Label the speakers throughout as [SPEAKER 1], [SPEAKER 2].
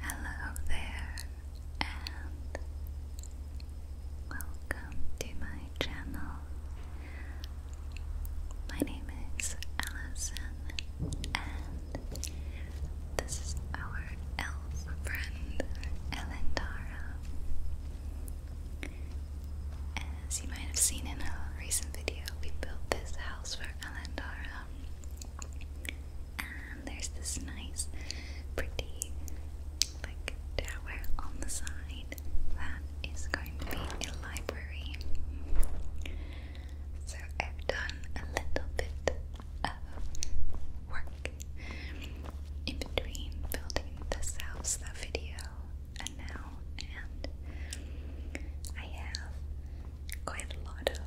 [SPEAKER 1] Hello there, and welcome to my channel. My name is Allison, and this is our elf friend, Elendara. As you might have seen in a recent video, we built this house for and there's this nice, pretty, like, tower on the side that is going to be a library. So I've done a little bit of work in between building this house, that video, and now, and I have quite a lot of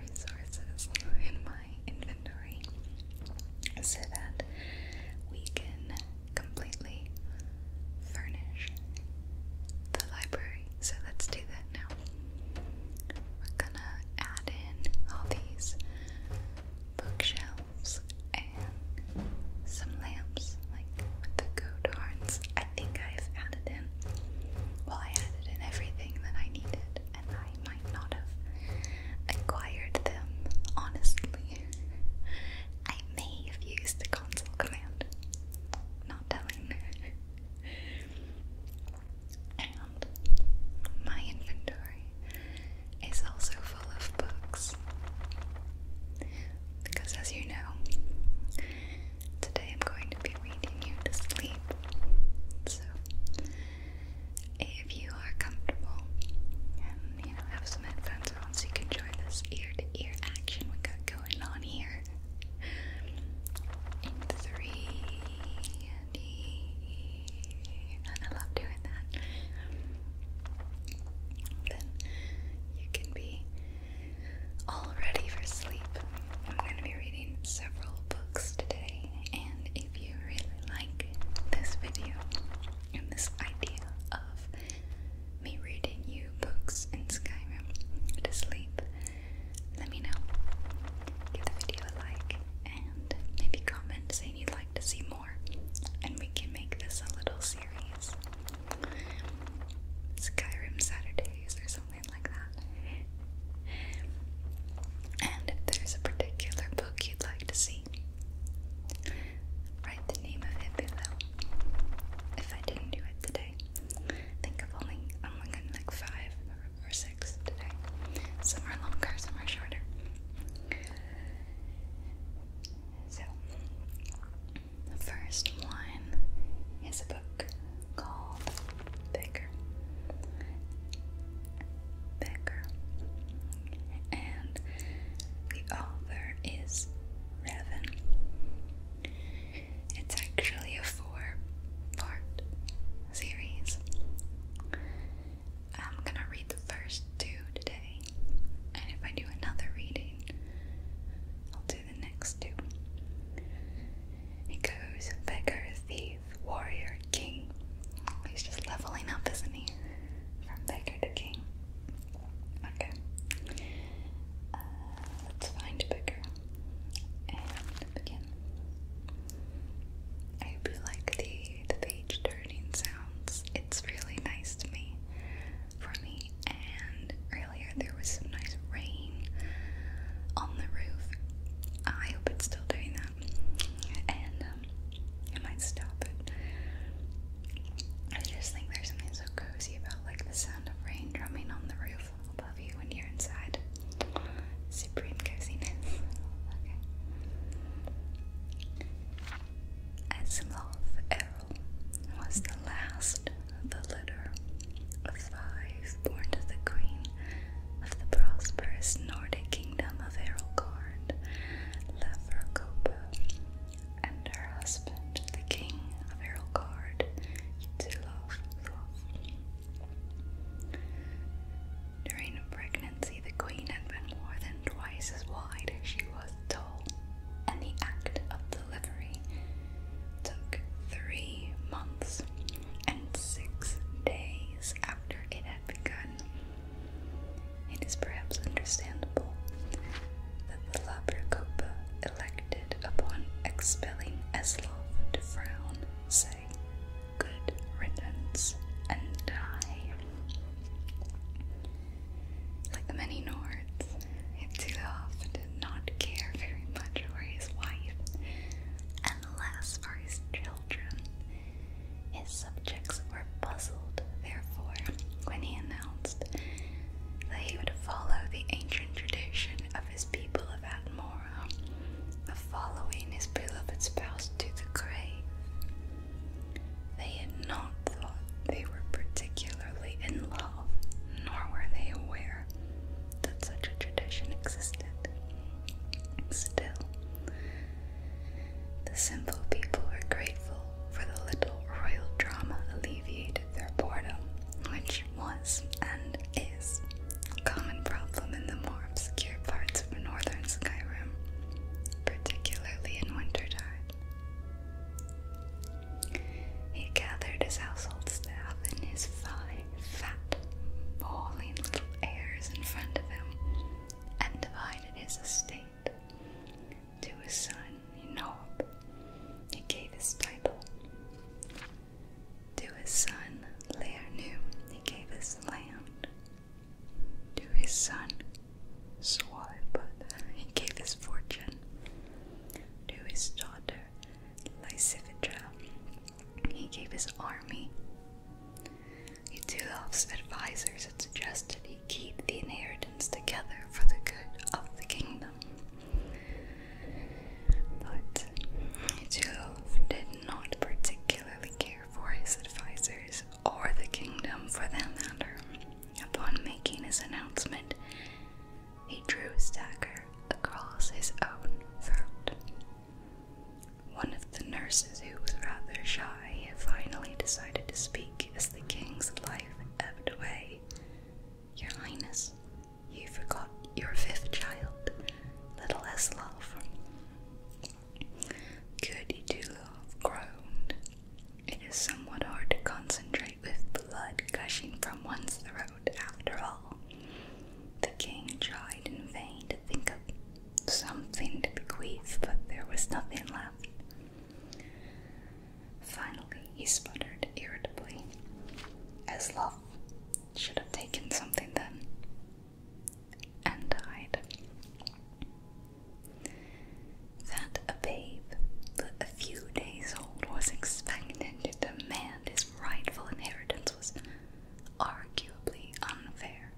[SPEAKER 1] resources in my inventory so that we can completely furnish the library. So let's do that now. We're gonna add in all these bookshelves and some lamps, like the goat I think I've added in well, I added in everything that I needed, and I might not have acquired them, honestly. I may have used the console command. Not telling. and my inventory is also full of books. Because, as you know, Today I'm going to be reading you to sleep. So, if you are comfortable and have some headphones on, so you can join this ear-to-ear action we got going on here. In three and I love doing that. Then you can be all ready for sleep. I'm going to be reading several books today, and if you really like this video and this idea of me reading you books in Skyrim to sleep, let me know. Give the video a like and maybe comment saying you'd like to see more, and we can make this a little series. Skyrim Saturdays or something like that. And if there's a particular book you'd like to see, write the name of it below. If I didn't do it today, think i only, I'm only like five or six today. Some are longer, some are shorter. So, the first one is a book called Becker. Becker. And the author is Revan. It's actually a four part series. I'm gonna read the first two today, and if I do another reading, I'll do the next two. He goes beggar, thief, warrior, king. He's just leveling up, isn't he? From beggar to king. Okay. Uh, let's find beggar I hope you like the, the page turning sounds. It's really nice to me, for me, and earlier there was some nice rain on the roof. I hope it's still doing that, and um, it might stop I just think there's something so cozy about like the sound of rain drumming on the roof above you when you're inside. Supreme coziness. Okay. Asimov Errol was the last the litter of five born to the queen of the prosperous Nordic kingdom of Erlgard, Leverkopa, and her husband, the king of Erlgard, Ytilov. During pregnancy, the queen had been more than twice as wide as she was tall, and the act of delivery took three months and six days after it had begun. It is perhaps understandable that the Labrocopa elected upon expelling Eslov to frown, say, good riddance, and die. Like the many Nords, it did not care very much for his wife and less for his children. His subjects were puzzled, therefore, when he announced that he would follow the ancient tradition of his people of Atmora of following his beloved spouse to the grave. They had not thought they were particularly in love, nor were they aware that such a tradition existed. Still, the simple people were grateful for the little royal drama alleviated their boredom, which was and is a common problem in the more obscure parts of northern Skyrim, particularly in wintertime. He gathered his household staff and his five fat, bawling little heirs in front of him and divided his estate. To his son, Enoch, he gave his title. To his son, Leonu, he gave his land. To his son, Swalbut, he gave his fortune. To his daughter, Lysivitra, he gave his army. Ytulov's advisors had suggested he keep the inheritance together for the good of the kingdom. But Ytulov did not particularly care for his advisors or the kingdom for that matter. Upon making his announcement, he drew his dagger across his own throat. One of the nurses, who was rather shy, finally decided to speak as the king's life ebbed away. Your Highness, you forgot your fifth child, little Eslav. Good Idulov groaned. It is somewhat hard to concentrate with blood gushing from one's throat after all. The king tried in vain to think of something to bequeath, but there was nothing left. Finally, he sputtered irritably. As love should have taken something then, and died. That a babe, but a few days old, was expected to demand his rightful inheritance was arguably unfair.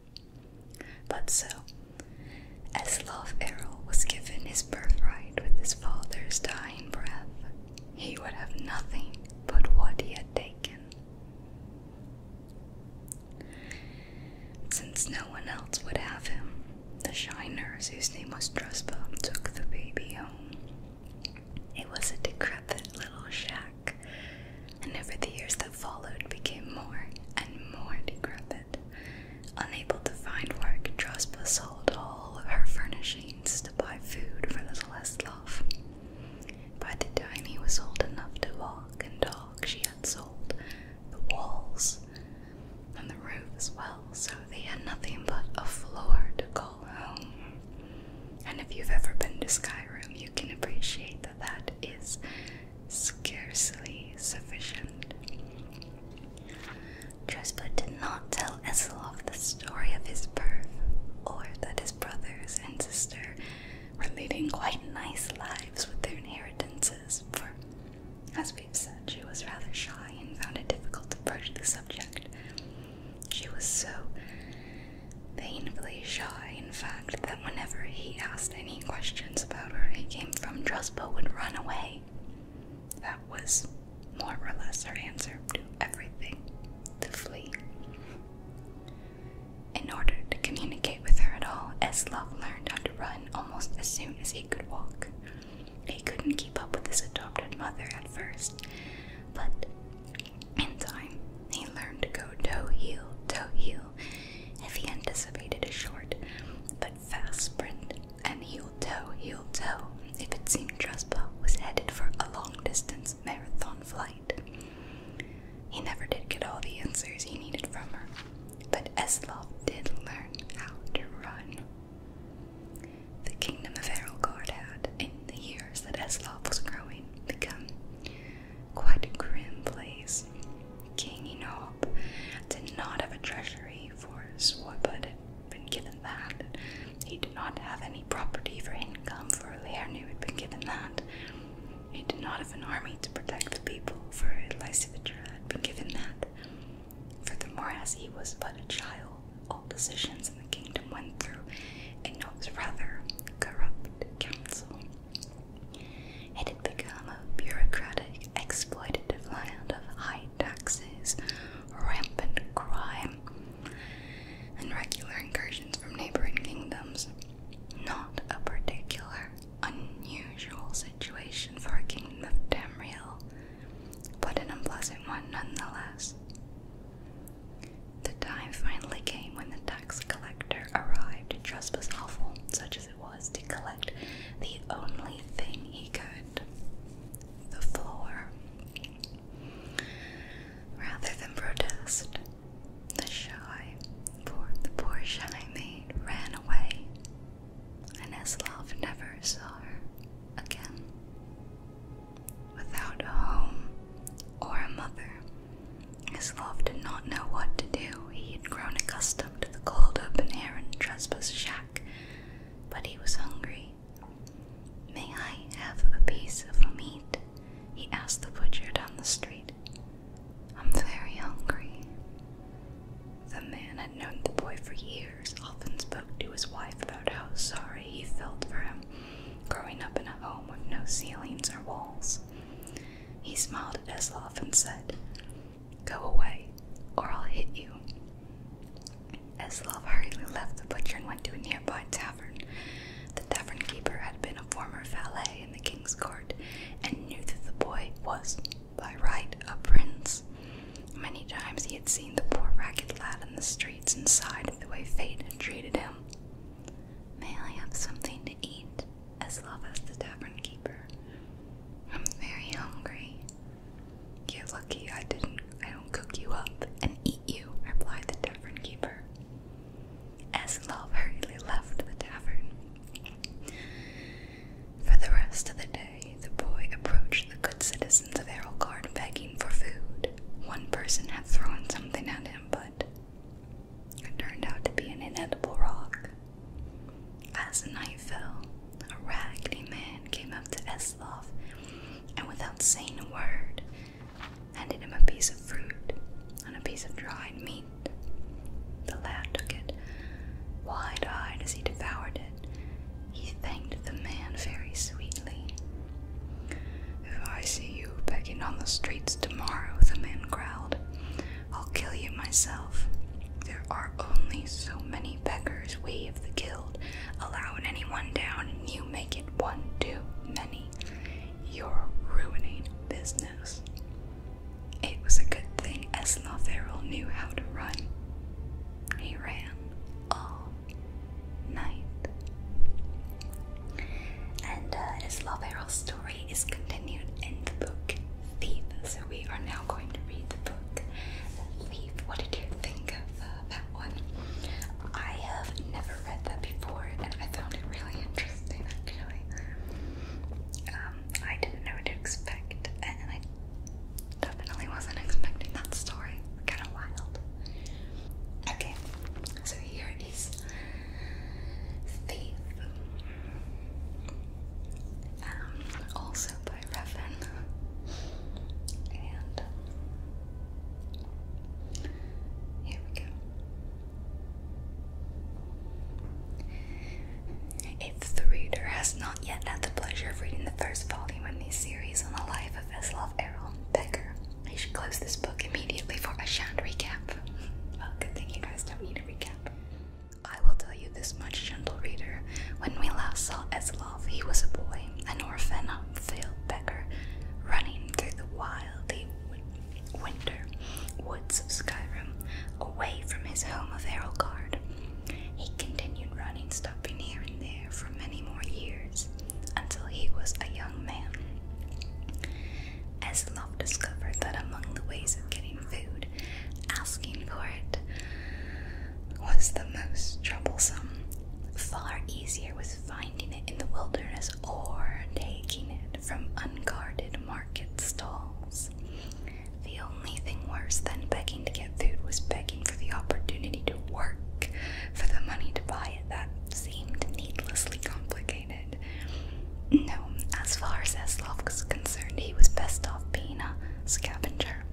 [SPEAKER 1] But so, as Love Errol was given his birthright with his father's dying breath, he would have nothing but what he had taken. Since no one else would have him, the shiners, whose name was Druspa, took the baby home. It was a decrepit little shack, and over the years that followed became more and more decrepit. Unable to find work, Drospa sold all of her furnishings to buy food for little Eslov. By the time he was old enough to walk and talk, she had sold the walls and the roof as well, so they had nothing but a floor to call um, and if you've ever been to Skyrim, you can appreciate that that is scarcely sufficient. Dresper did not tell Esilov the story of his birth, or that his brothers and sister were leading quite nice lives with their inheritances, for, as we've said, she was rather shy and found it difficult to broach the subject. She was so painfully shy, in fact, that whenever he asked any questions about her, he came from Truspo would run away. That was more or less her answer to everything to flee. In order to communicate with her at all, Eslov learned how to run almost as soon as he could walk. He couldn't keep up with his adopted mother at first, but in time, he learned to go toe heel, toe heel, if he anticipated a short but fast sprint, and heel toe, heel toe, if it seemed Trespa was headed for a long distance marathon flight. He never did get all the answers he needed from her, but Eslov did learn how to run. The kingdom of Aralgard had, in the years that Eslov was growing, become quite a grim place. King Enob did not have a treasury for sword, but had been given that. He did not have any property for income for Laernu had been given that. He did not have an army to protect the people for Lysivetra had been given that. Furthermore, as he was but a child, all decisions the kingdom went through Enoch's rather corrupt council. It became a bureaucratic, exploitative land of high taxes, rampant crime, and regular incursions from neighboring kingdoms. Not a particular unusual situation for a kingdom of Tamriel, but an unpleasant one nonetheless. The time finally came when the tax collector arrived, just as awful, such as it was, to collect the only thing he could the floor. Rather than protest, the shy, poor, poor shy maid ran away, and Eslav never saw her again. Without a home or a mother, his love did not know what to do. He had grown accustomed to the cold, open air and Trespa's shack, but he was hungry. May I have a piece of meat? he asked the butcher down the street. I'm very hungry. The man had known the boy for years, often spoke to his wife about how sorry he felt for him growing up in a home with no ceilings or walls. He smiled at Eslov and said, Go away, or I'll hit you. Eslov hurriedly left the butcher and went to a nearby tavern. The tavern keeper had been a former valet in the king's court and knew that the boy was, by right, a prince. Many times he had seen the poor ragged lad in the streets and sighed at the way fate had treated him. May I have something to eat? As love as the tavern keeper. I'm very hungry. You're lucky I didn't I don't cook you up and eat you, replied the tavern keeper. As love hurriedly left the tavern. For the rest of the day, the boy approached the good citizens of Errolgard begging for food. One person had thrown something at him, but it turned out to be an inedible rock. As the night fell, a raggedy man came up to Eslov and, without saying a word, handed him a piece of fruit and a piece of dried meat. The lad took it, wide eyed as he devoured it. He thanked the man very sweetly if I see you begging on the streets tomorrow, the man growled, I'll kill you myself. There are only so many beggars we of the guild allow in any one town, and you make it one too many. You're ruining business. It was a good thing Esnotheril knew how to run. He ran all night. And uh, his love hero story is continued in the book Thief. So we are now going to read the book Thief. What did you think of uh, that one? I have never read that before, and I found it really interesting. Um, I didn't know what to expect, and I definitely wasn't expecting that story. Kind of wild. Okay, so here is Thief, um, also by Raven, and here we go. If the reader has not yet had the pleasure of reading the first volume in this series on the life of Eslov Errol Becker, I should close this book immediately for a shand recap. Well, good thing you guys don't need a recap. I will tell you this much, gentle reader. When we last saw Eslov, he was a boy, an orphan, a failed beggar, running through the wildy winter woods of Skyrim, away from his home of Errolgard. He continued running, stopping here and there for many more years, until he was a young man as Love discovered that among the ways of getting food, asking for it was the most troublesome. Far easier was finding it in the wilderness or taking it from unguarded market stalls. The only thing worse than begging to get food was begging for the opportunity to work for the money to buy it. That seemed needlessly complicated. No, as far as Eslov was concerned, he was best off being a scavenger,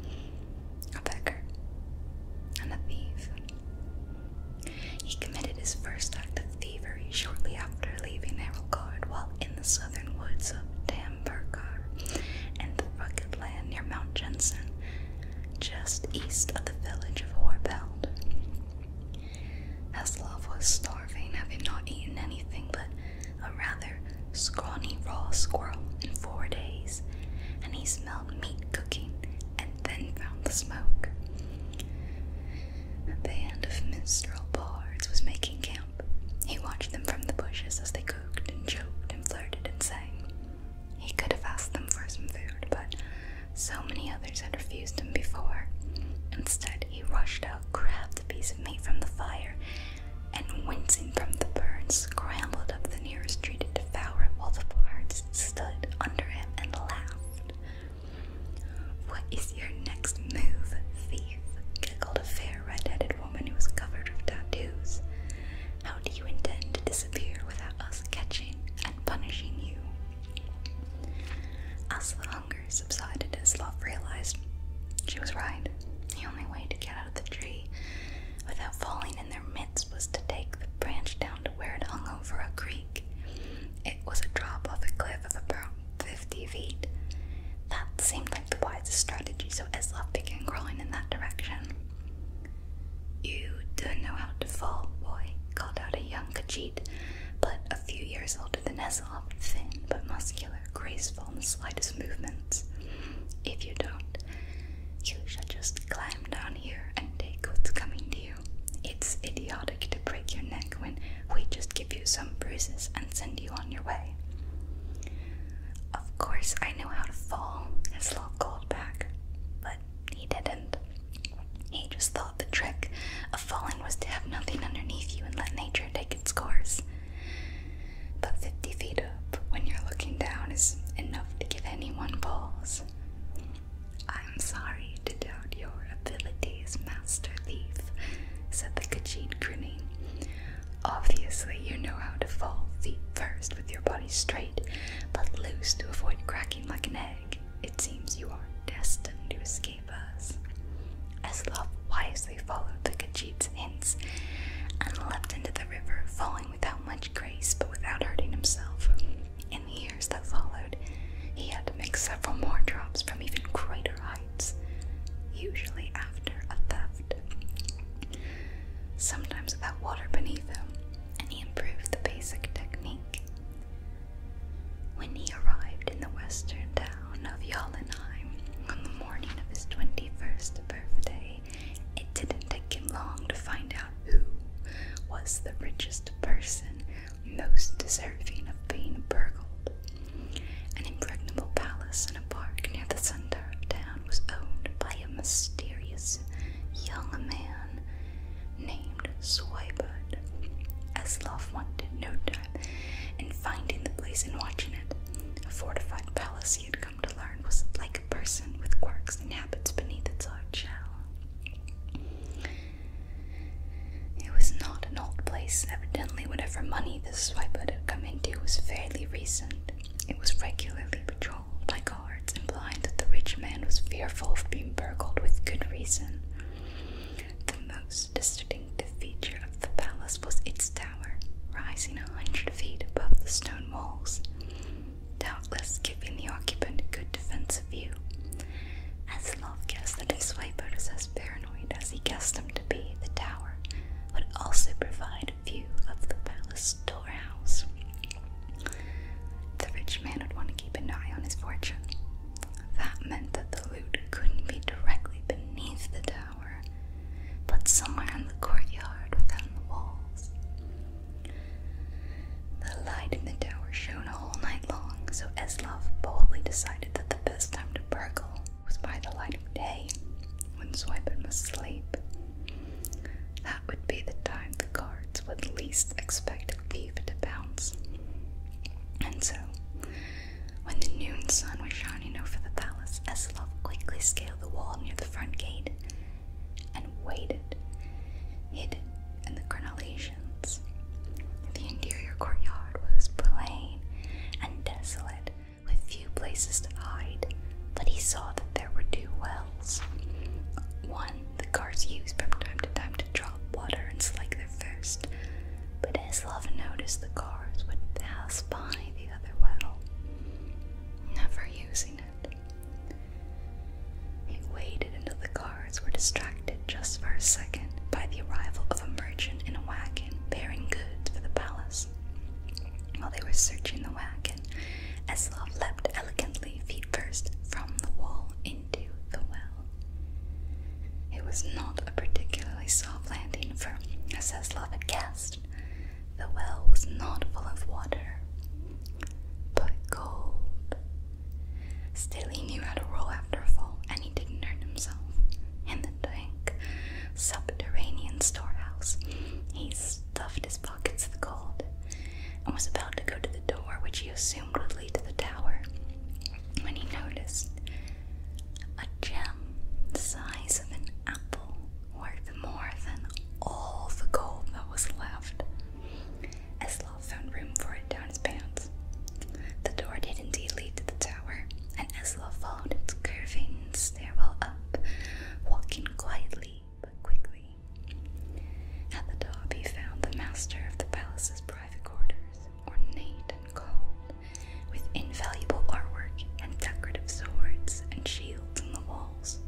[SPEAKER 1] a beggar, and a thief. He committed his first act of thievery shortly after leaving Guard, while in the southern woods of Dambergar and the rugged land near Mount Jensen, just east of the village of Horbeld. Aslov was starving, having not eaten anything but a rather scrawny raw squirrel in four days, and he smelled meat cooking and then found the smoke. A band of minstrel bards was making camp. He watched them from the bushes as they cooked and joked and flirted and sang. He could have asked them for some food, but so many others had refused him before. Instead, he rushed out, grabbed a piece of meat from the fire, and wincing from the burn, scrambled up the nearest tree to devour it while the birds stood under him and laughed. What is your next move, thief? giggled a fair red-headed woman who was covered with tattoos. How do you intend to disappear without us catching and punishing you? Asla hunger subsided as Love realized she was right. The only way to get out of the tree without falling in their midst was to take the branch down to where it hung over a creek. It was a drop off a cliff of about 50 feet. That seemed like the wisest strategy, so Eslov began crawling in that direction. You don't know how to fall, boy, called out a young Khajiit but a few years older than Aesop, thin but muscular, graceful in the slightest movements. If you don't, you should just climb down here and take what's coming to you. It's idiotic to break your neck when we just give you some bruises and send you on your way. Of course, I know how to fall, Aesop called back, but he didn't. He just thought the trick of falling was to have nothing underneath you and let nature take its course. But 50 feet up, when you're looking down, is enough to give anyone pause. I'm sorry to doubt your abilities, Master Thief, said the Khajiit, grinning. Obviously, you know how to fall feet first with your body straight, but loose to avoid cracking like an egg. It seems you are destined to escape gave As Love wisely followed the Khajiit's hints and leapt into the river, falling without much grace but without hurting himself. In the years that followed, he had to make several more drops from even greater heights, usually after a theft, sometimes without water beneath him, and he improved the basic technique when he arrived in the western town of Jollenheim on the morning of his 21st birthday, it didn't take him long to find out who was the richest person most deserving of being burgled. An impregnable palace and a park near the center of town was owned by a mysterious young man named Swybud. As Love wanted no and finding the place and watching it. A fortified palace he had come to learn was like a person with quirks and habits beneath its hard shell. It was not an old place. Evidently, whatever money this swiper had come into was fairly recent. It was regularly patrolled by guards, implying that the rich man was fearful of being burgled with good reason. The most distinctive feature of the palace was its tower, rising a hundred feet above the stone walls, doubtless giving the occupant a good defensive view. As Aslov guessed that his wife was as paranoid as he guessed them to be, the tower would also provide a view of the palace storehouse. The rich man would want to keep an eye on his fortune, that meant that the loot couldn't be directly beneath the tower, but somewhere in the courtyard within the walls. The light in the tower shone all night long, so Eslov boldly decided that the best time to burgle was by the light of day, when Swipin was asleep. That would be the time the guards would least expect a thief to bounce. And so, when the noon sun was shining over the palace, Eslov quickly scaled the wall near the front gate and waited, hidden in the crenellations. The interior courtyard was plain and desolate, with few places to hide, but he saw that there were two wells. One the guards used from time to time to draw water and slake their thirst, but Eslov noticed the cars would pass by the other well, never using it. He waited until the cars were distracted just for a second by the arrival of a merchant in a wagon bearing goods for the palace. While they were searching the wagon, Eslov leapt elegantly feet first from the wall in into the well. It was not a particularly soft landing for Mrs. had guessed. The well was not full of water, but gold. Still, he knew how to roll after a fall, and he didn't hurt himself. In the dank, subterranean storehouse, he stuffed his pockets with gold and was about to go to the door, which he assumed would lead to the tower, when he noticed a gem the size of an apple, worth more than all the gold that was left. Eslaw found room for it down his pants. The door did indeed lead to the tower, and Eslaw followed its curving stairwell up, walking quietly but quickly. At the top, he found the master of the palace's private quarters, ornate and gold, with invaluable artwork and decorative swords and shields on the walls.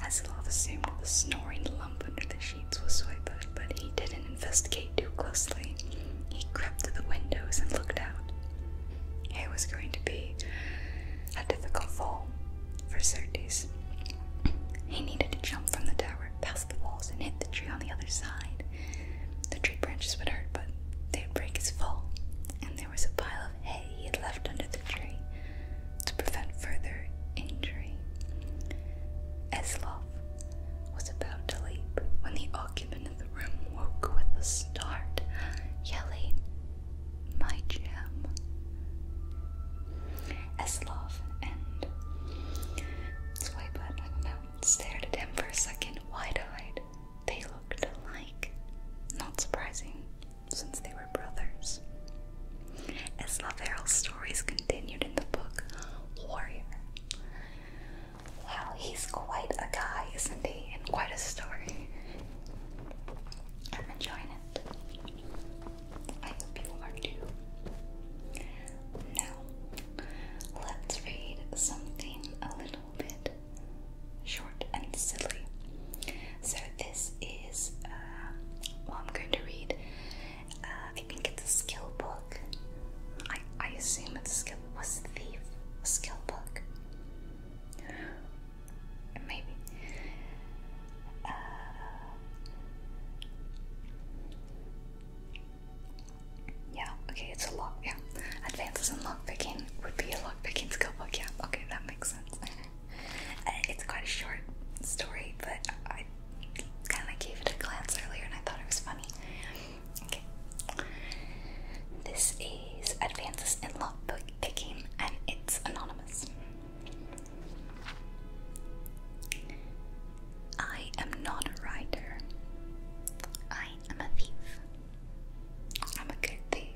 [SPEAKER 1] Hasselhoff assumed the snoring lump under the sheets was Soybud, but he didn't investigate too closely. He crept to the windows and looked out. It was going to be a difficult fall for Certes. He needed to jump from the tower past the walls and hit the tree on the other side. The tree branches would hurt, but they'd break his fall, and there was a pile of hay he had left under the tree to prevent further injury. Eslov was about to leap when the occupant of the room woke with a start, yelling, My gem. Eslov and Swipe, I don't know, stared at him for a second, wide eyed. They looked alike. Not surprising, since they were brothers. As Laverle's stories continued in the book, Warrior. Wow, he's quite a guy, isn't he? And quite a story. I'm enjoying it. I hope you are too. Now, Let's read something a little bit short and silly. So, this is uh, I'm going to read. I think it's a skill book. I, I assume it's skill. Was Thief skill book? Maybe. Uh, yeah, okay, it's a lock, yeah. Advances in lock picking would be a lock picking skill book, yeah. Okay, that makes sense. Uh, it's quite a short story, but I kind of gave it a glance earlier and I thought it was funny. Okay. This is Advances in lock picking, and it's anonymous. I am not a writer. I am a thief. I'm a good thief.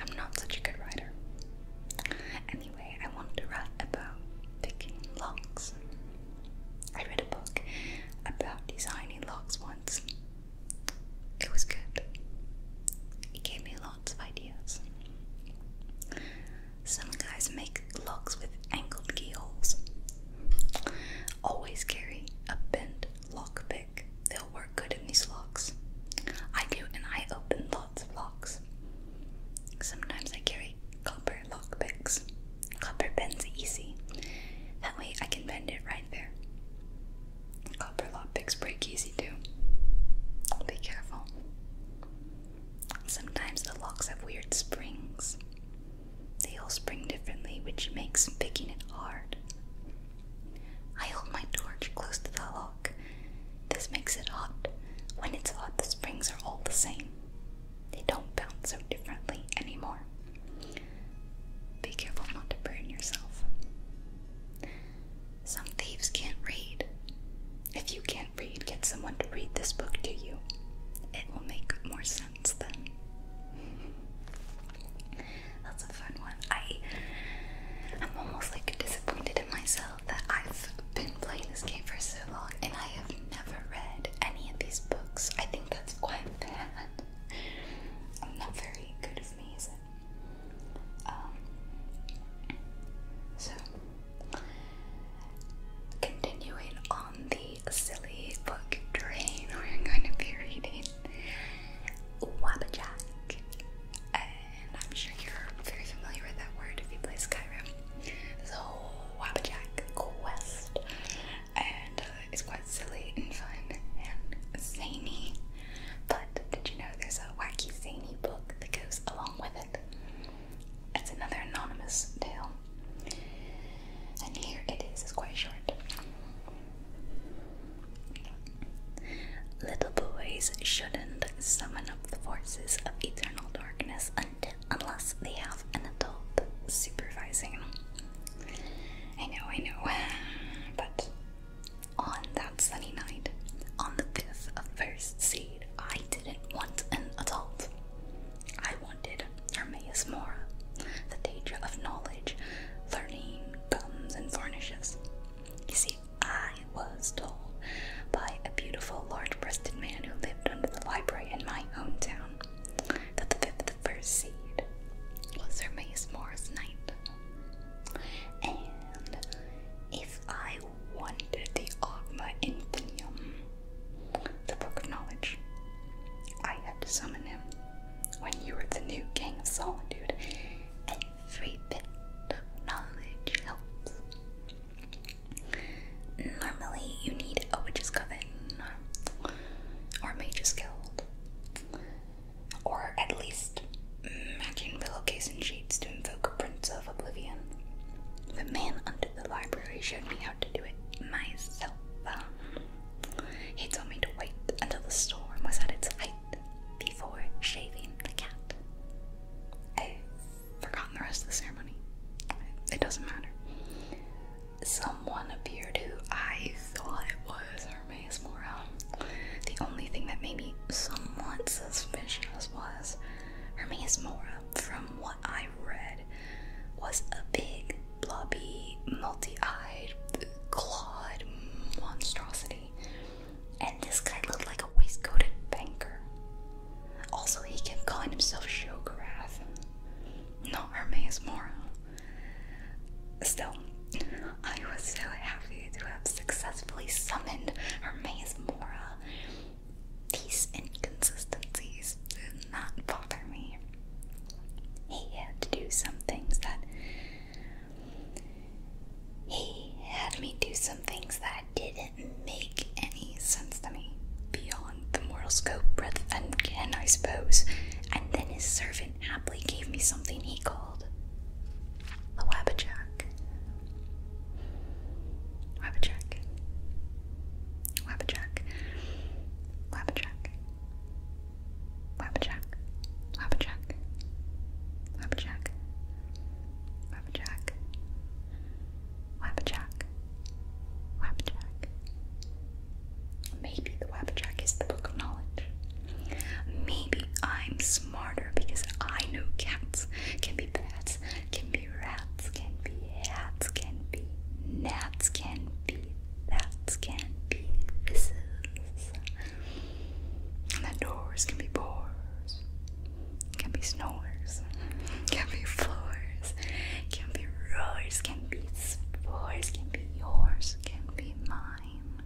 [SPEAKER 1] I'm not such a good writer. Anyway, I wanted about picking locks. I read a book about designing locks once. It was good. It gave me lots of ideas. Some guys make chic with angled keyholes. Always carry a bent lock pick. They'll work good in these locks. I do, and I open lots of locks. Sometimes I carry copper lock picks. Copper bends easy. That way I can bend it right there. Copper lock picks break easy too. Be careful. Sometimes the locks have weird springs. They all spring differently, which makes picking it hard. I hold my torch close to the lock. This makes it hot. When it's hot, the springs are all the same. They don't bounce so differently anymore. Be careful not to burn yourself. Some thieves can't read. If you can't read, get someone to read this book to you. It will make more sense. That's a fun one. I I'm almost like disappointed in myself that I've been playing this game for so long and I have never read any of these books. I think that's quite bad. I'm not very good of me, Um so continuing on the a silly book train we're going to be reading Wabajack. And I'm sure you're very familiar with that word if you play Skyrim. So, Wabajack quest. And uh, it's quite silly and fun and zany. But did you know there's a wacky, zany book that goes along with it? It's another anonymous tale. And here it is, it's quite short. Little boys shouldn't summon up the forces of eternal darkness unless they have an adult supervising. I know, I know. But on that sunny night, on the 5th of first seed, I didn't want an adult. I wanted Hermaeus Mora, the teacher of knowledge, learning, gums, and varnishes. You see, I was told by a beautiful, large breasted man who lived under the library in my hometown that the fifth of the first seed was Hermaeus Mora's knight. And if I wanted the Ogma Infinium, the Book of Knowledge. I have to summon him when you were the new King of Solitude. Every bit of knowledge helps. Normally, you need a Witch's Coven, or Mage's Guild, or at least magic pillowcase and sheets to invoke a Prince of Oblivion. The man under the library showed me how to do it myself. Um, he told me to wait until the storm was at its height before shaving the cat. i forgot the rest of the ceremony. It doesn't matter. Someone appeared who I thought was Hermes Mora. The only thing that made me somewhat suspicious was Hermes Mora from what. I read was a big, blobby, multi eyed, clawed monstrosity. And this guy looked like a waistcoated banker. Also, he kept calling himself Shogarath, not Hermes Moro. Still, I was so happy to have successfully summoned Hermes Mora. These inconsistencies not bother me. He had to do some things that. He had me do some things that didn't make any sense to me beyond the moral scope, breadth, and can, I suppose. And then his servant aptly gave me something he called the Wabajack. Wabajack. Wabajack. Wabajack. Wapjack, Wapjack, Wapjack, Wapjack, Wapjack, Wapjack. Maybe the jack is the book of knowledge. Maybe I'm smarter because I know cats can be bats, can be rats, can be hats, can be gnats, can be Bats can be hisses. And doors can be bores. Can be snores. Can be floors. Can be roars. Can be spores. Can be yours. Can be mine.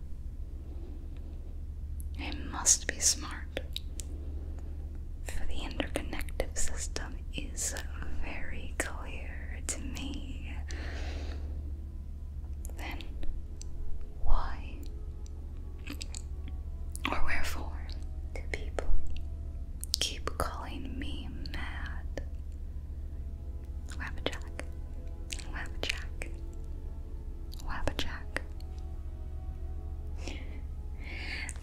[SPEAKER 1] I must be smart. For the interconnective system is very clear to me, then why or wherefore do people keep calling me mad? Wabbajack, Wabbajack, Wabbajack.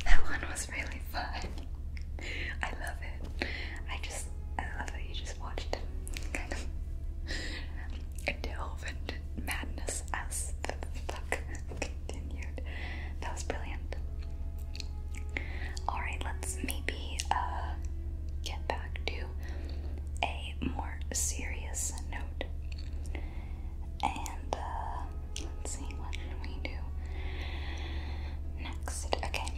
[SPEAKER 1] That one was really fun. I love it. I just because I love how you just watched him kind of delve into madness as the fuck continued. That was brilliant. Alright, let's maybe uh, get back to a more serious note. And uh, let's see, what should we do next? Okay,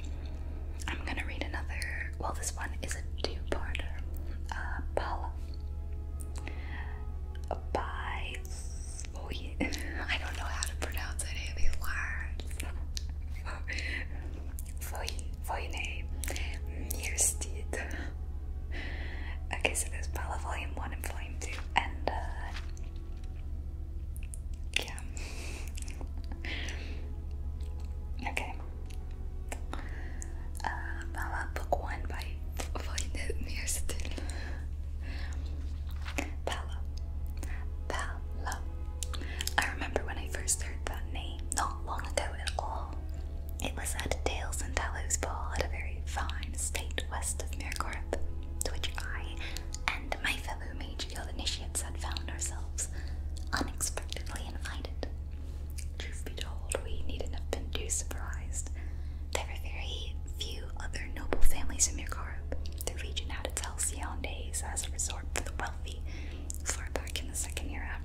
[SPEAKER 1] I'm gonna read another. Well, this one is a two-parter. Uh, Bala by. Oh, yeah. I don't know how to pronounce any of these words. Voyne Mirsteed. Okay, so there's Bala Volume 1 and Volume 2, and uh, okay. Um, uh, how book one by Voynich Pala. Pala. I remember when I first heard that name, not long ago at all. It was at Dales and Dallows Ball at a very fine estate west of Mircorp, to which I and my fellow Mage Guild initiates had found ourselves unexpectedly invited. Truth be told, we needn't have been too surprised. There were very few other noble families in Mirkarb. The region had its halcyon days as a resort for the wealthy, far back in the Second Era.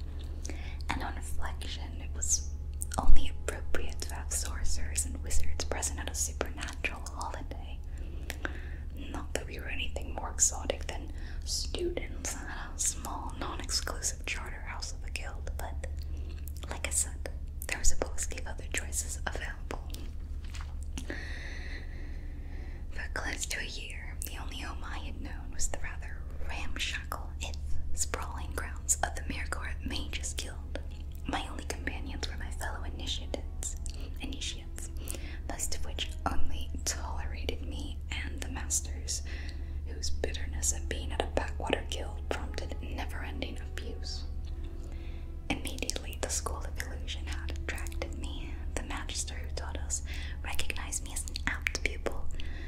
[SPEAKER 1] And on reflection, it was only appropriate to have sorcerers and wizards present at a supernatural holiday. Not that we were anything more exotic than students at a small, non exclusive charter house of a guild, but like I said, there was supposed to of other choices available. For close to a year, the only home I had known was the rather ramshackle, if sprawling grounds of the Mirror Mages Guild. My only companions were my fellow initiates, initi most of which only tolerated me and the masters, whose bitterness at being at a backwater guild prompted never-ending abuse. Immediately, the school of illusion had attracted me. The master who taught us recognized me as an apt pupil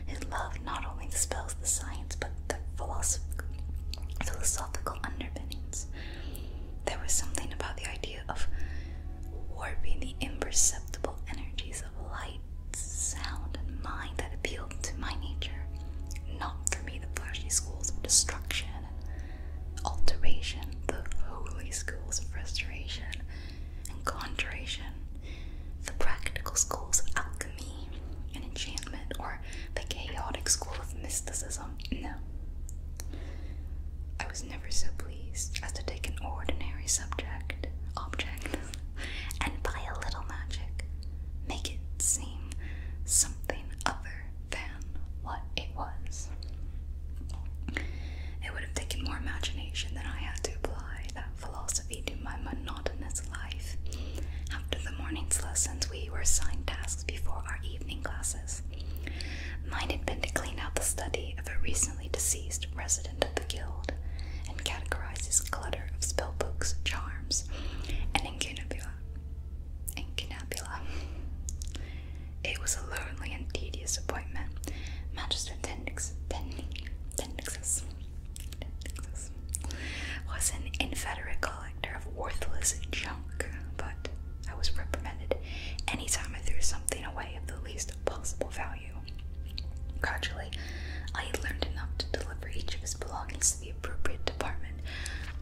[SPEAKER 1] who loved not only the spells, the science, but the philosophical underpinnings. There was something about the idea of warping the imperceptible energies of light, sound, and mind that appealed to my nature, not for me the flashy schools of destruction and alteration, the holy schools of restoration and conjuration, the practical schools of alchemy and enchantment, or the chaotic school of mysticism. No. I was never so pleased pleased as to take an ordinary subject, object, and by a little magic make it seem something other than what it was. It would have taken more imagination than I had to apply that philosophy to my monotonous life. After the morning's lessons, we were assigned tasks before our evening classes. Mine had been to clean out the study of a recently deceased resident of the guild and categorizes clutter of spellbooks, charms, and incunabula. Incunabula. It was a lonely and tedious appointment. Magister Tendix, was an inveterate collector of worthless junk, but I was reprimanded anytime I threw something away of the least possible value. Gradually, I had learned enough to deliver each of his belongings to the appropriate department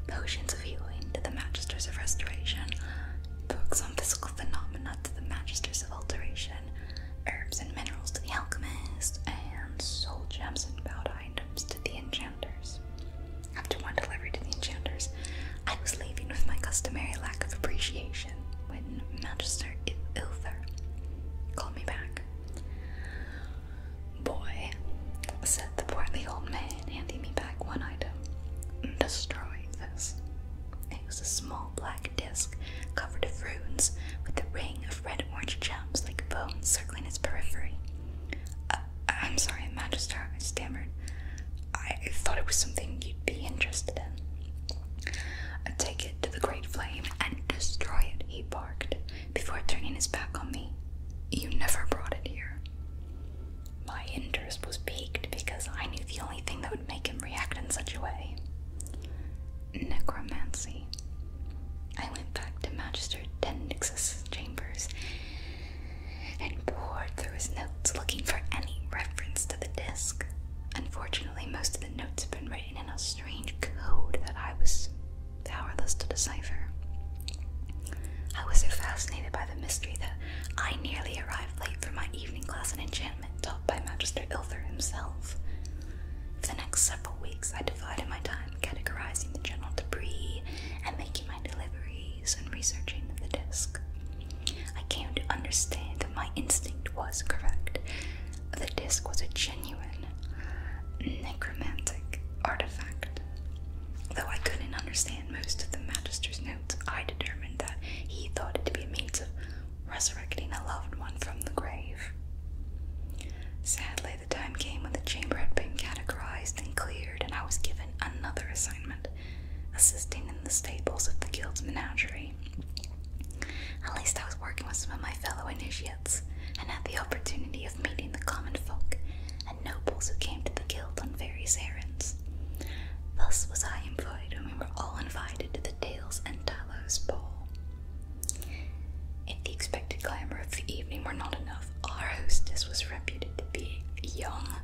[SPEAKER 1] potions of healing to the magisters of restoration, books on physical phenomena to the magisters of alteration, herbs and minerals to the alchemists, and soul gems and bowed items to the enchanters. After one delivery to the enchanters, I was leaving with my customary lack of appreciation when Manchester Ilthar called me back. Boy, said the portly old man, handing me back one item. Destroy this. It was a small black disc covered with runes with a ring of red orange gems like bones circling its periphery. Uh, I'm sorry, Magister, I stammered. I thought it was something you'd be interested in. i take it to the Great Flame and destroy it, he barked, before turning his back on me. You never brought it here. My interest was piqued because I knew the only thing that would make him react in such a way necromancy. I went back to Magister Tendix's chambers and poured through his notes looking for any reference to the disc. Unfortunately, most of the notes have been written in a strange code that I was powerless to decipher. I was so fascinated by the mystery that I nearly arrived late for my evening class in enchantment taught by Magister Ilther himself. For the next several weeks, I divided my time categorizing the general debris and making my deliveries and researching the disc. I came to understand that my instinct was correct. The disc was a genuine necromantic artifact. Though I couldn't understand most of the Magister's notes, I determined that he thought it to be a means of resurrecting a loved one from the grave. Sadly, the time came when the chamber had been categorized and cleared, and I was given another assignment assisting in the stables of the guild's menagerie. At least I was working with some of my fellow initiates and had the opportunity of meeting the common folk and nobles who came to the guild on various errands. Thus was I employed when we were all invited to the Dales and Talos ball. If the expected glamour of the evening were not enough, our hostess was reputed to be a young,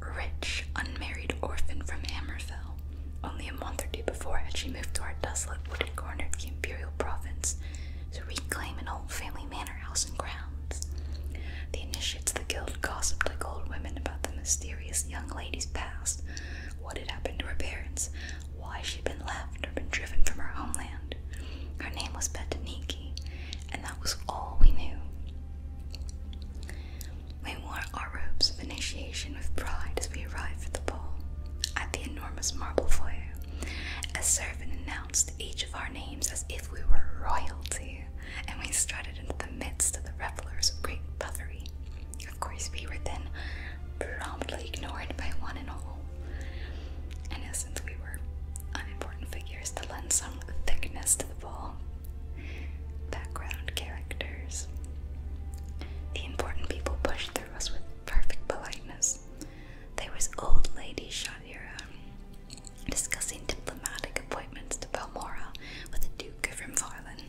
[SPEAKER 1] rich, unmarried orphan from Hammerfell. Only a month or two before had she moved to our desolate wooded corner of the imperial province to reclaim an old family manor house and grounds. The initiates of the guild gossiped like old women about the mysterious young lady's past, what had happened to her parents, why she'd been left or been driven from her homeland. Her name was Betaniki, and that was all we knew. We wore our robes of initiation with pride as we arrived at the ball. At the enormous marble foyer, a servant announced each of our names as if we were royalty, and we strutted into the midst of the revelers of great buffery. Of course, we were then promptly ignored by one and all. In essence, we were unimportant figures to lend some thickness to the ball background characters. The important people pushed through us with perfect politeness. There was old Lady Shadira discussing diplomatic appointments to Balmora with the Duke of Rimvarlin.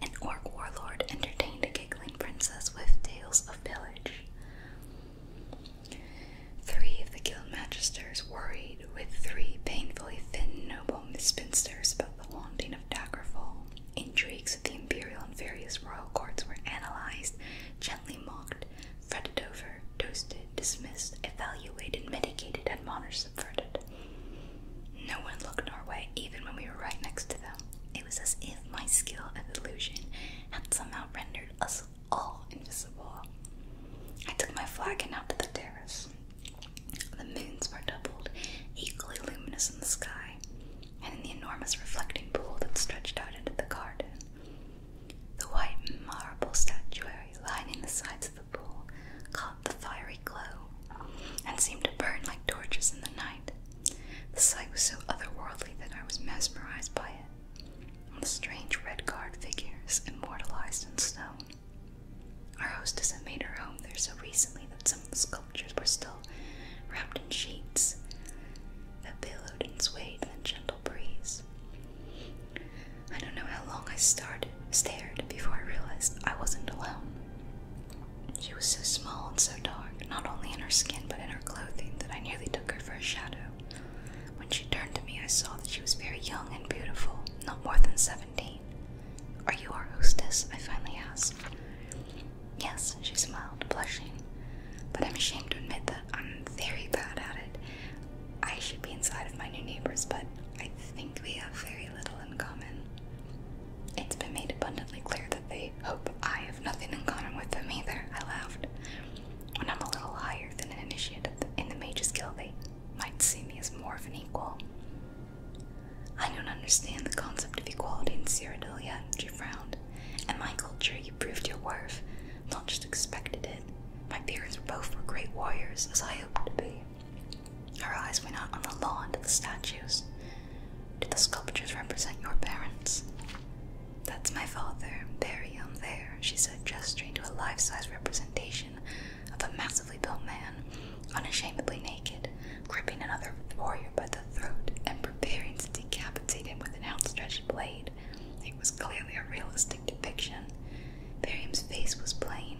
[SPEAKER 1] An orc warlord entertained a giggling princess with tales of pillage. Three of the guild magisters worried with three painfully thin noble spinsters about the haunting of Daggerfall. Intrigues of the imperial and various royal courts were analyzed, gently mocked, fretted over, toasted, dismissed, evaluated, mitigated, admonished, subverted. No one looked our way, even when we were right next to them. It was as if my skill at illusion had somehow rendered us all invisible. I took my flag and out to the terrace. The moons were doubled, equally luminous in the sky, and in the enormous reflecting pool that stretched out into the garden. The white marble statuary lining the sides of the pool caught the fiery glow and seemed to burn like torches in the night. The sight was so otherworldly that I was mesmerized by it, and the strange red guard figures immortalized in stone. Our hostess had made her home there so recently that some of the sculptures were still wrapped in sheets that billowed and swayed in the gentle breeze. I don't know how long I stared before I realized I wasn't alone. She was so small and so dark, not only in her skin but in her clothing, that I nearly took her for a shadow. When she turned to me, I saw that she was very young and beautiful, not more than seventeen. Are you our hostess? I finally asked. Yes, she smiled, blushing. But I'm ashamed to admit that I'm very bad at it. I should be inside of my new neighbors, but I think we have very little in common. It's been made abundantly clear that they hope I have nothing in common with them either, I laughed. When I'm a little higher than an initiate in the Mage's Guild, they might see me as more of an equal. I don't understand the concept of equality in Cyrodiilia, she frowned. In my culture, you proved your worth, not just expected it. My parents were both were great warriors, as I hope to be. Her eyes went out on the lawn to the statues. Do the sculptures represent your parents? That's my father, bury him there, she said, gesturing to a life size representation of a massively built man unashamedly naked, gripping another warrior by the throat and preparing to decapitate him with an outstretched blade. It was clearly a realistic depiction. Barium's face was plain,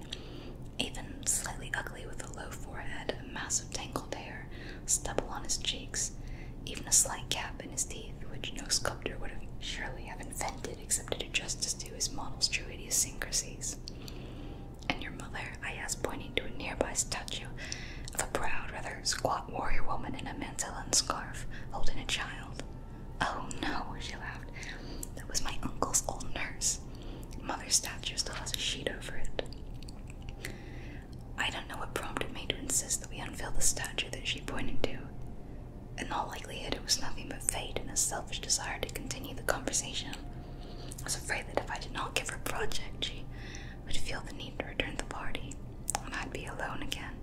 [SPEAKER 1] even slightly ugly with a low forehead, massive tangled hair, stubble on his cheeks, even a slight gap in his teeth, which no sculptor would surely have invented except to do justice to his model's true idiosyncrasies. And your mother? I asked, pointing to a nearby statue of a proud, rather squat warrior woman in a mantle and scarf, holding a child. Oh no, she laughed. That was my uncle's old nurse. Mother's statue still has a sheet over it. I don't know what prompted me to insist that we unveil the statue that she pointed to. In all likelihood, it was nothing but fate and a selfish desire to continue the conversation. I was afraid that if I did not give her a project, she would feel the need to return to the party, and I'd be alone again.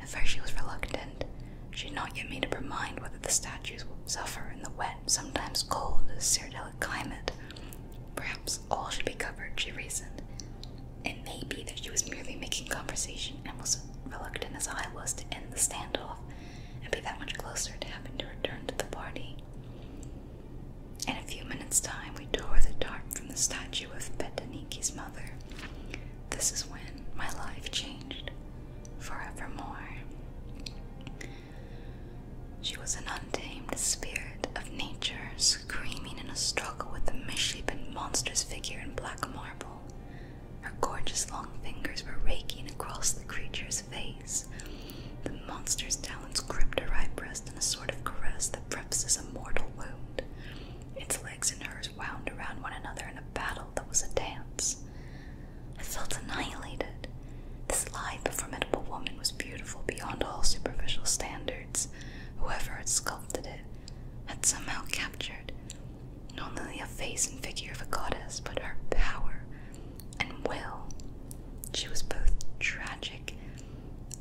[SPEAKER 1] At first, she was reluctant. She had not yet made up her mind whether the statues would suffer in the wet, sometimes cold, Cyrillic climate. Perhaps all should be covered, she reasoned. It may be that she was merely making conversation and was reluctant as I was to end the standoff and be that much closer to having to return to the party. In a few minutes' time, we tore the tarp from the statue of Betaniki's mother. This is when my life changed forevermore. She was an untamed spirit of nature, screaming in a struggle with the misshapen monster's figure in black marble. Her gorgeous long fingers were raking across the creature's face. The monster's talons gripped her right breast in a sort of caress that prefaces a mortal wound. Its legs and hers wound around one another in a battle that was a dance. I felt annihilated. This lithe formidable woman was beautiful beyond all superficial standards. Whoever had sculpted it had somehow captured not only the face and figure of a goddess, but her power, and will. She was both tragic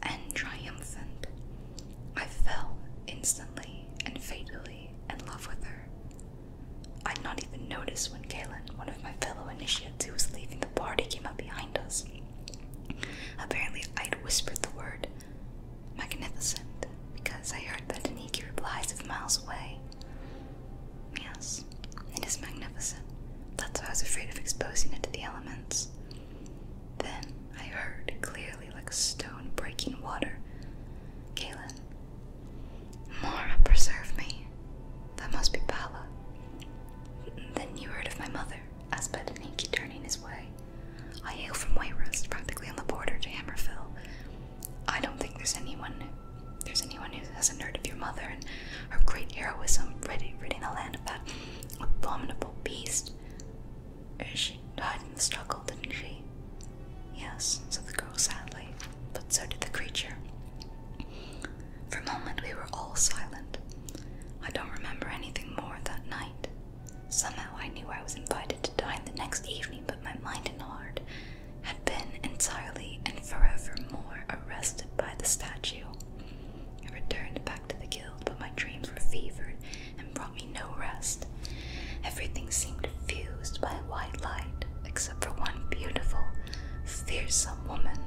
[SPEAKER 1] and triumphant. I fell instantly and fatally in love with her. I'd not even noticed when Galen, one of my fellow initiates who was leaving the party, came up behind us. Apparently, I'd whispered the word magnificent because I heard that Aniki replies if miles away. Yes, it is magnificent. That's why I was afraid of exposing it to the elements. Then I heard clearly, like a stone breaking water. Galen. Mora, preserve me. That must be Pala. Then you heard of my mother, Asped and turning his way. I hail from Wayrest, practically on the border to Hammerfell. I don't think there's anyone there's anyone as a nerd of your mother and her great heroism, ridding, ridding the land of that abominable beast. She died in the struggle, didn't she? Yes, said the girl sadly, but so did the creature. For a moment we were all silent. I don't remember anything more that night. Somehow I knew I was invited to dine the next evening, but my mind and heart had been entirely and forevermore arrested by the statue. I returned back to the guild, but my dreams were fevered and brought me no rest. Everything seemed fused by a white light, except for one beautiful, fearsome woman,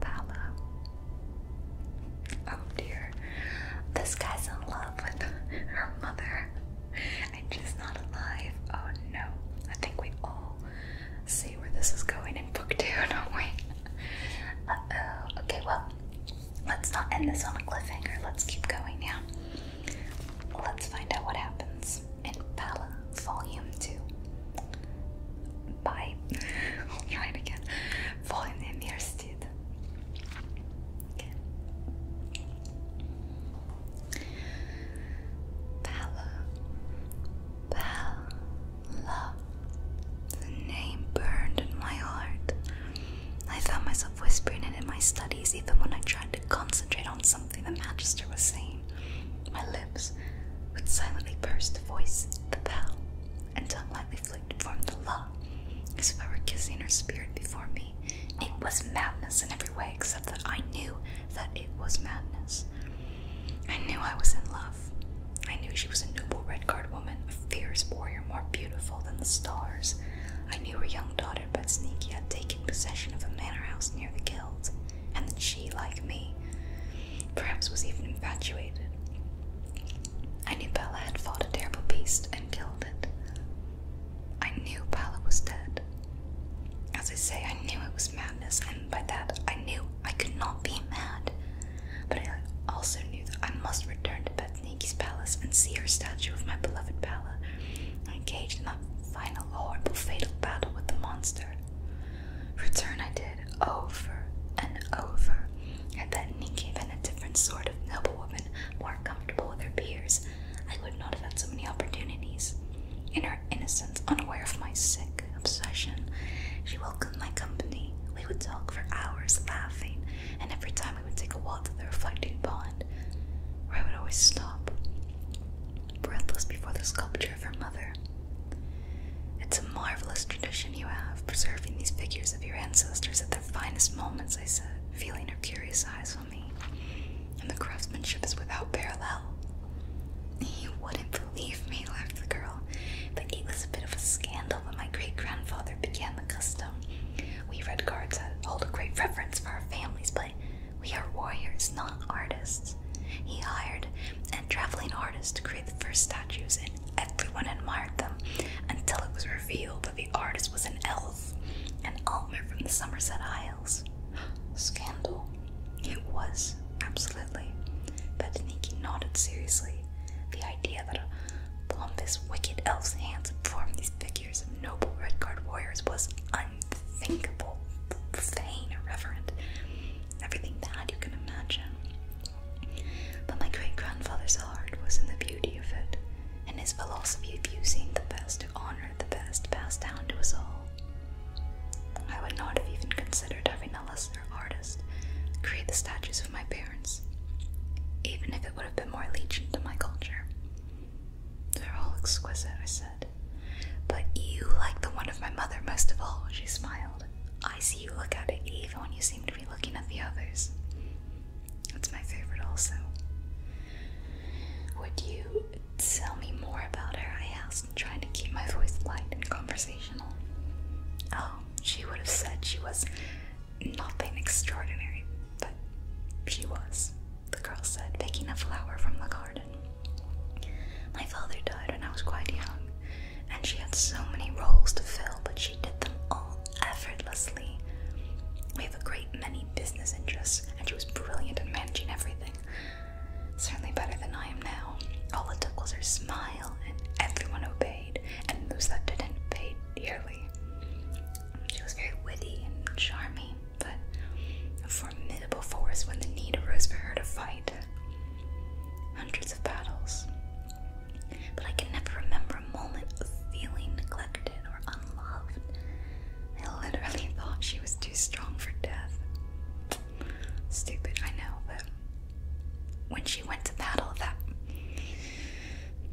[SPEAKER 1] Bala. Oh dear, this guy's in love with her mother, and she's not alive. Oh no, I think we all see where this is going in book two, don't we? Uh oh. Okay, well, let's not end this on a cliffhanger. Let's keep going now. Let's find out what happens in Pala Volume 2. Bye. try it again. Volume in the Okay. Pala. Pala. Love. The name burned in my heart. I found myself whispering it in my studies even when I tried to concentrate on something the Magister was saying. My lips would silently burst to voice the bell, and tongue lightly flicked from the law, as if I were kissing her spirit before me. It was madness in every way except that I knew that it was madness. I knew I was in love. I knew she was a noble redguard woman, a fierce warrior more beautiful than the stars. I knew her young daughter Betsniki had taken possession of a manor house near the guild, and that she, like me, perhaps was even infatuated. I knew Bella had fought a terrible beast and killed it. I knew Bella was dead. As I say, I knew it was madness, and by that I knew I could not be mad. But I also knew that I must return to Bethaniki's palace and see her statue of my beloved Bella, engaged in that final horrible fatal battle with the monster. Return I did over and over, and Bethany been a different sort of noblewoman, more comfortable with her peers. I would not have had so many opportunities. In her. Innocent, unaware of my sick obsession. She welcomed my company. We would talk for hours, laughing, and every time we would take a walk to the reflecting pond, where I would always stop, breathless before the sculpture of her mother. It's a marvelous tradition you have, preserving these figures of your ancestors at their finest moments, I said, feeling her curious eyes on me. And the craftsmanship is without parallel. You wouldn't believe me, laughed the girl. But it was a bit of a scandal when my great grandfather began the custom. We red guards hold a great reverence for our families, but we are warriors, not artists. He hired a traveling artist to create the first statues, and everyone admired them until it was revealed that the artist was an elf, an almer from the Somerset Isles. Scandal. It was, absolutely. Bataniki nodded seriously. The idea that a Plumpus wicked elf's hands formed these figures of noble red guard warriors was unthinkable, vain, irreverent. Everything bad you can imagine. But my great grandfather's heart was in the beauty of it, and his philosophy of using the best to honor the best passed down to us all. I would not have even considered having a lesser artist, create the statues of my parents, even if it would have been more allegiant to my culture. They're all exquisite, I said. But you like the one of my mother most of all, she smiled. I see you look at it even when you seem to be looking at the others. It's my favorite also. Would you tell me more about her? I asked trying to keep my voice light and conversational. Oh, she would have said she was nothing extraordinary, but she was, the girl said, picking a flower from the garden. My father died when I was quite young, and she had so many roles to fill, but she did them all effortlessly. We have a great many business interests, and she was brilliant at managing everything. Certainly better than I am now. All the dukes are smiling and everyone obeyed, and those that didn't paid dearly. She was very witty and charming, but a formidable force when the need arose for her to fight. Hundreds of battles. But I can never remember a moment of feeling neglected or unloved. I literally thought she was too strong for death. Stupid, I know, but when she went to battle that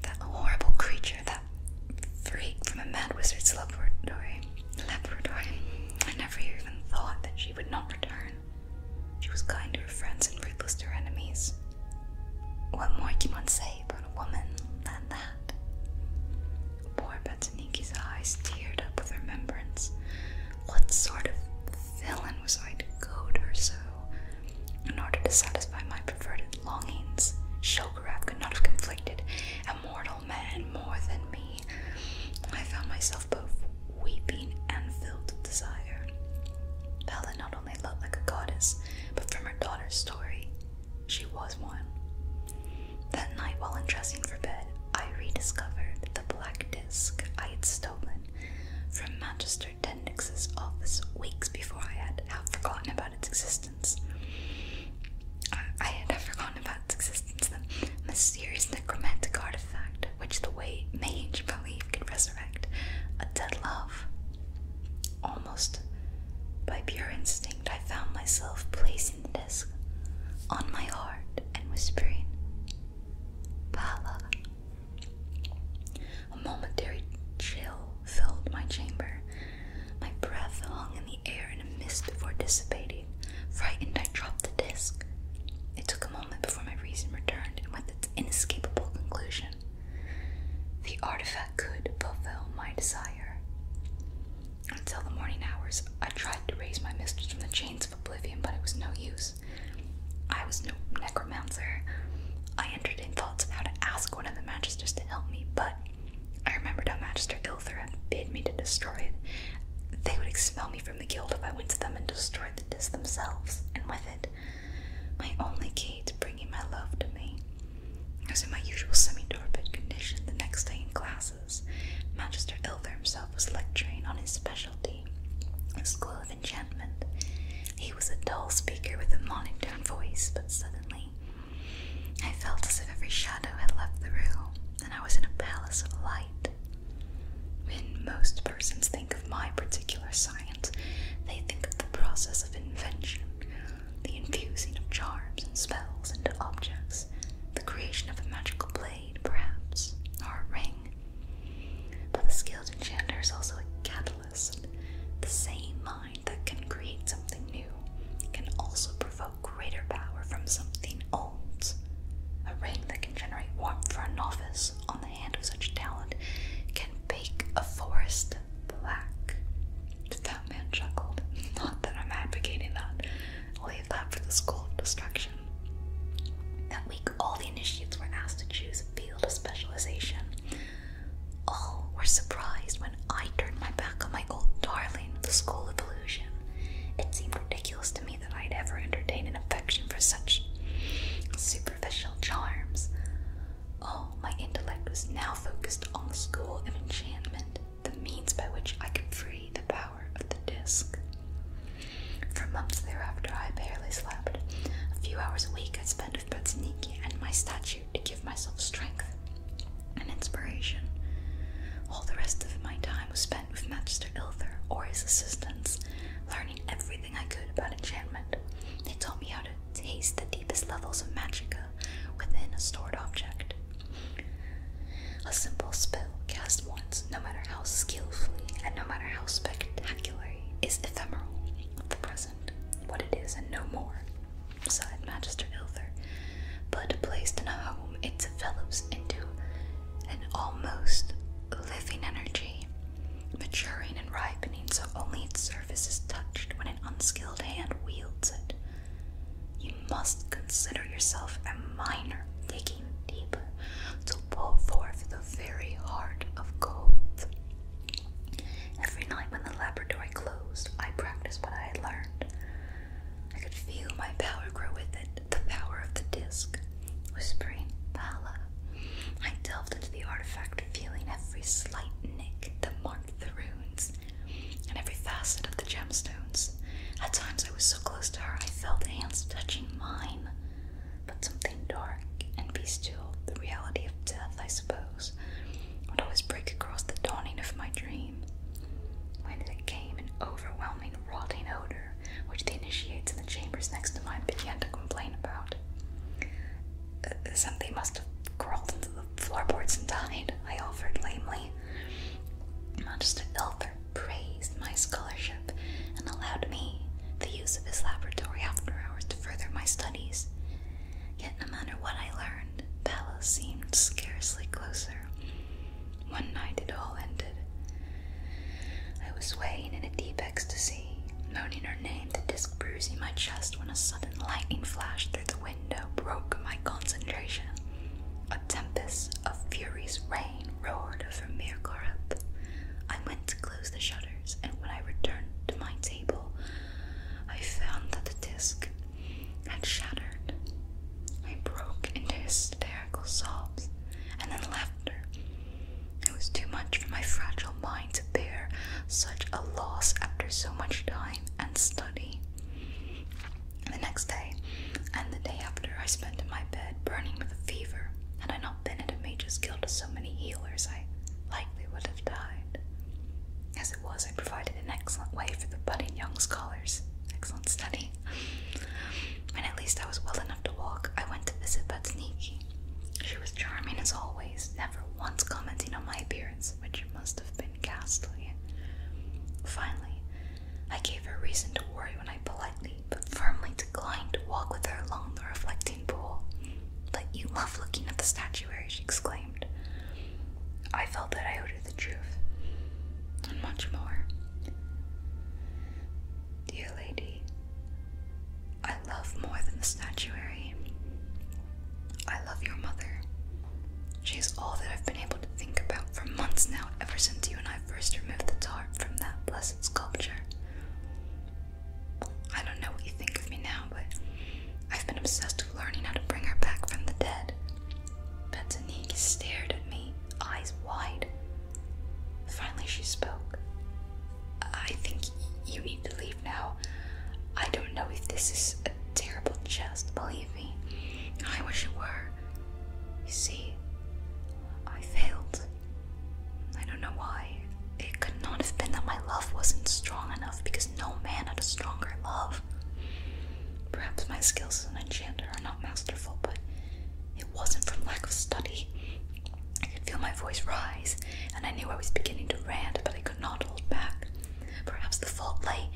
[SPEAKER 1] that horrible creature, that freak from a mad wizard's laboratory, laboratory, I never even thought that she would not return. She was kind to her friends and ruthless to her enemies. What more can one say about a woman than that? Poor Batsuniki's eyes teared up with remembrance what sort of villain was I to goad her so? In order to satisfy my perverted longings, Shogarath could not have conflicted a mortal man more than me. I found myself both weeping and filled with desire. Bella not only loved like a goddess, but from her daughter's story, she was one. That night, while undressing for bed, I rediscovered the black disc I had stolen from Manchester Tenix's office weeks before I had half forgotten about its existence. I, I had forgotten about its existence, the mysterious necromantic artifact which the way mage believed could resurrect a dead love. Almost by pure instinct, I found myself placing the disc on my heart and whispering, Bala, a momentary chill filled my chamber. My breath hung in the air in a mist before dissipating. Frightened, I dropped the disc. It took a moment before my reason returned and with its inescapable conclusion. The artifact could fulfill my desire. Until the morning hours, I tried to raise my mistress from the chains of oblivion, but it was no use. I was no necromancer. I entertained thoughts of how to ask one of the magisters to help me, but I remembered how Magister Ilthra bid me to destroy it. They would expel me from the guild if I went to them and destroyed the disc themselves, and with it, my only key to bringing my love to me. I was in my usual semi-torpid condition the next day in classes. Magister Ilthra himself was lecturing on his specialty, his enchantment. He was a dull speaker with a monotone voice, but suddenly I felt as if every shadow had left the room and I was in a palace of light. When most persons think of my particular science, they think of the process of invention, the infusing of charms and spells into objects, the creation of a magical blade, perhaps, or a ring but the skilled enchanter is also a catalyst. The same mind that can create something new can also provoke greater power from something old. A ring that can generate warmth for a novice on the hand of such talent can bake a forest black. The fat man chuckled. Not that I'm advocating that. leave that for the school destruction all the initiates were asked to choose a field of specialization. All were surprised when I turned my back on my old darling, the School of Illusion. It seemed ridiculous to me that I'd ever entertained an affection for such superficial charms. All oh, my intellect was now focused on the school of enchantment, the means by which I could free the power of the disc. For months thereafter, I barely slept. A few hours a week I spent with Petzniki and my statue to give myself strength and inspiration. All the rest of my time was spent with Master Ilthor or his assistants, learning everything I could about enchantment. They taught me how to taste the deepest levels of magica within a stored object. A simple spell cast once, no matter how skillfully and no matter how spectacular is ephemeral, of the present, what it is and no more, sighed Magister Ilther, but placed in a home it develops into an almost living energy, maturing and ripening so only its surface is touched when an unskilled hand wields it. You must consider yourself a miner digging deep to pull forth the very heart of gold. Every night when the laboratory closed, I practiced what I had learned. I could feel my power grow with it, the power of the disc, whispering Pala. I delved into the artifact, feeling every slight nick that marked the runes and every facet of the gemstones. At times I was so close to her I felt hands touching mine but something dark and bestial, the reality of death, I suppose, would always break across the dawning of my dream. When it came, an overwhelming, rotting odor, which the initiates in the chambers next to mine began to complain about. Uh, something must have crawled into the floorboards and died, I offered lamely. Not just to ill praised my scholarship and allowed me the use of his laboratory after hours to further my studies. Yet, no matter what I learned, Bella seemed scarcely closer. One night it all ended. I was swaying in a deep ecstasy, moaning her name, the disc bruising my chest when a sudden lightning flash through the window broke my concentration. A tempest of furious rain roared over Mirgorip. I went to closed the shutters, and when I returned to my table, I found that the disc had shattered. I broke into hysterical sobs and then laughter. It was too much for my fragile mind to bear such a loss after so much time and study. The next day and the day after, I spent in my bed burning with a fever. Had I not been at a mage's guild of so many healers, I likely would have died. As it was, I provided an excellent way for the budding young scholars. Excellent study. and at least I was well enough to walk, I went to visit Batsniki. She was charming as always, never once commenting on my appearance, which must have been ghastly. Finally, I gave her reason to worry when I politely but firmly declined to walk with her along the reflecting pool. But you love looking at the statuary, she exclaimed. I felt that I owed her the truth, and much more. Dear lady, I love more than the statuary. I love your mother. She is all that I've been able to think about for months now, ever since you and I first removed the tarp from that blessed sculpture. I don't know what you think of me now, but I've been obsessed with learning how to bring her back from the dead. Betsanique stared at me, eyes wide. Finally, she spoke. I think you need to leave now. I don't know if this is a terrible jest, believe me. I wish it were. You see, I failed. I don't know why. It could not have been that my love wasn't strong enough because no man had a stronger love. Perhaps my skills as an enchanter are not masterful, but it wasn't from lack of study. I could feel my voice rise, and I knew I was beginning to rant, but I could not hold back. Perhaps the fault lay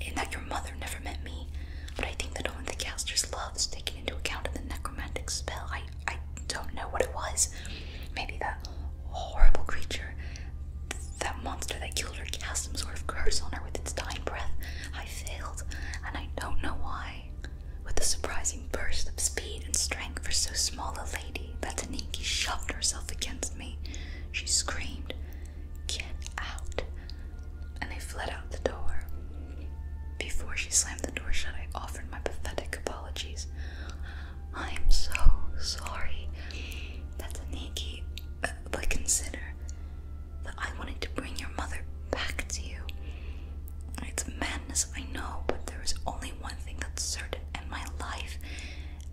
[SPEAKER 1] in that your mother never met me, but I think that only the caster's love is taken into account the necromantic spell. I I don't know what it was. Maybe that horrible creature, that monster that killed her, cast some sort of curse on her with its dying breath. I failed, and I don't know why. With a surprising burst of speed and strength for so small a lady, Bataniki shoved herself against me. She screamed, Get out! And I fled out the door. Before she slammed the door shut, I offered my pathetic apologies. I'm so sorry. That's a Nikki. Uh, but consider that I wanted to bring your mother back to you. It's madness, I know, but there is only one thing that's certain in my life,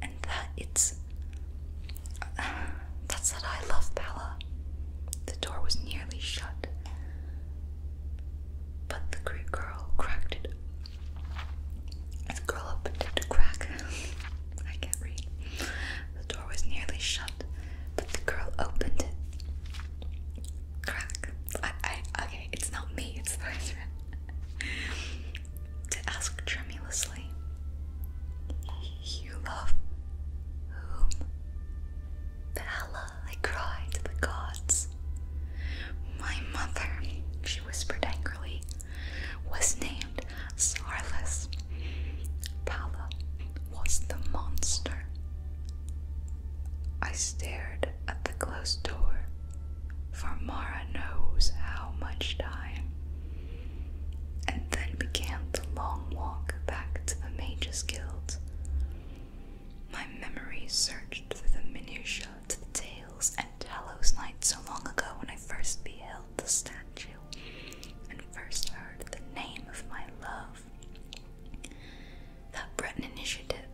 [SPEAKER 1] and that it's. that's that I love Bella. The door was nearly shut, but the Greek girl cracked it the girl opened it a crack. I can't read. The door was nearly shut, but the girl opened it. Crack. I, I, okay, it's not me, it's the husband. to ask tremulously, You love whom? Bella, I cried the gods. My mother, she whispered angrily, was named Sarlis. Pala was the monster. I stared at the closed door, for Mara knows how much time, and then began the long walk back to the Mages Guild. My memory searched through the minutiae to the tales and Talos night so long ago when I first beheld the statue and first heard the name of my love. That Breton initiative,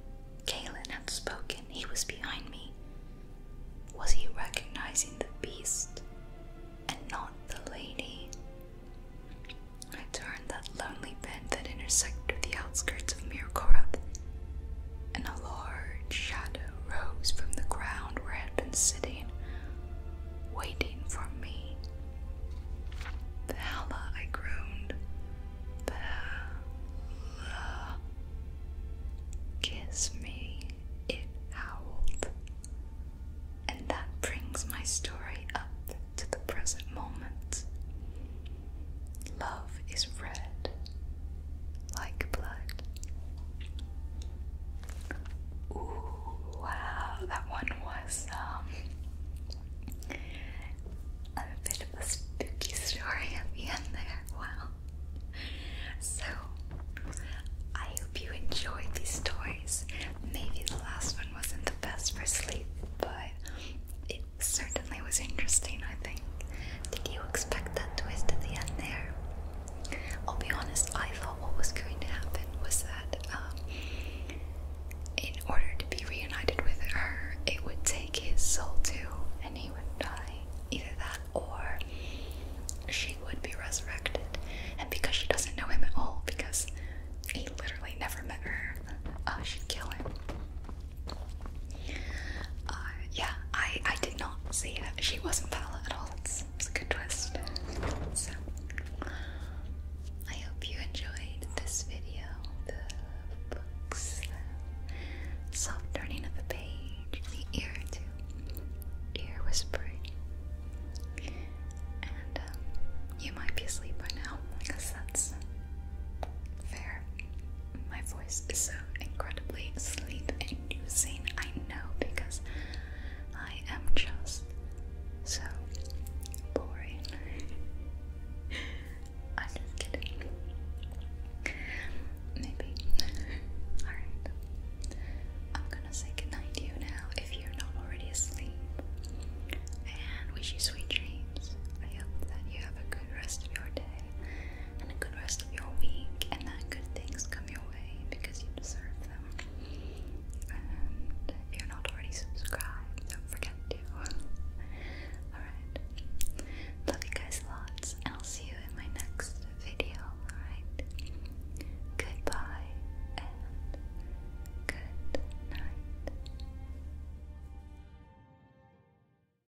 [SPEAKER 1] Galen had spoken, he was behind me. Was he recognizing the beast and not the lady? I turned that lonely bend that intersected the outskirts of Mirkorath and a large shadow rose from the ground where I had been sitting, waiting for me. The I groaned. The Kiss me, it howled. And that brings my story up to the present moment. Love is red like blood. Ooh, wow, that one was um a bit of a spooky story at the end there. Wow. So I hope you enjoyed these stories. Maybe the last one wasn't the best for sleep, but certainly was interesting, I think. Did you expect that twist at the end there? I'll be honest, I thought what was going to happen was that um, in order to be reunited with her, it would take his soul too, and he would die. Either that or she would be resurrected. And because she doesn't know him at all, because he literally never met her, uh, she'd kill him. Uh, yeah, I, I did not see that she wasn't Paula at all. It's, it's a good twist. I hope you enjoyed this video. The books, soft turning of the page, the ear to ear whispering. And um, you might be asleep by now. I that's fair my voice is so incredibly sleep inducing. I know because I am just so boring. I'm just kidding. Maybe. Alright. I'm gonna say goodnight to you now if you're not already asleep. And wish you sweet dreams. I hope that you have a good rest of your day and a good rest of your week, and that good things come your way because you deserve them. And if you're not already subscribed, don't forget to. Alright. Love you guys lots, and I'll see you in my next video. Alright. Goodbye and good night.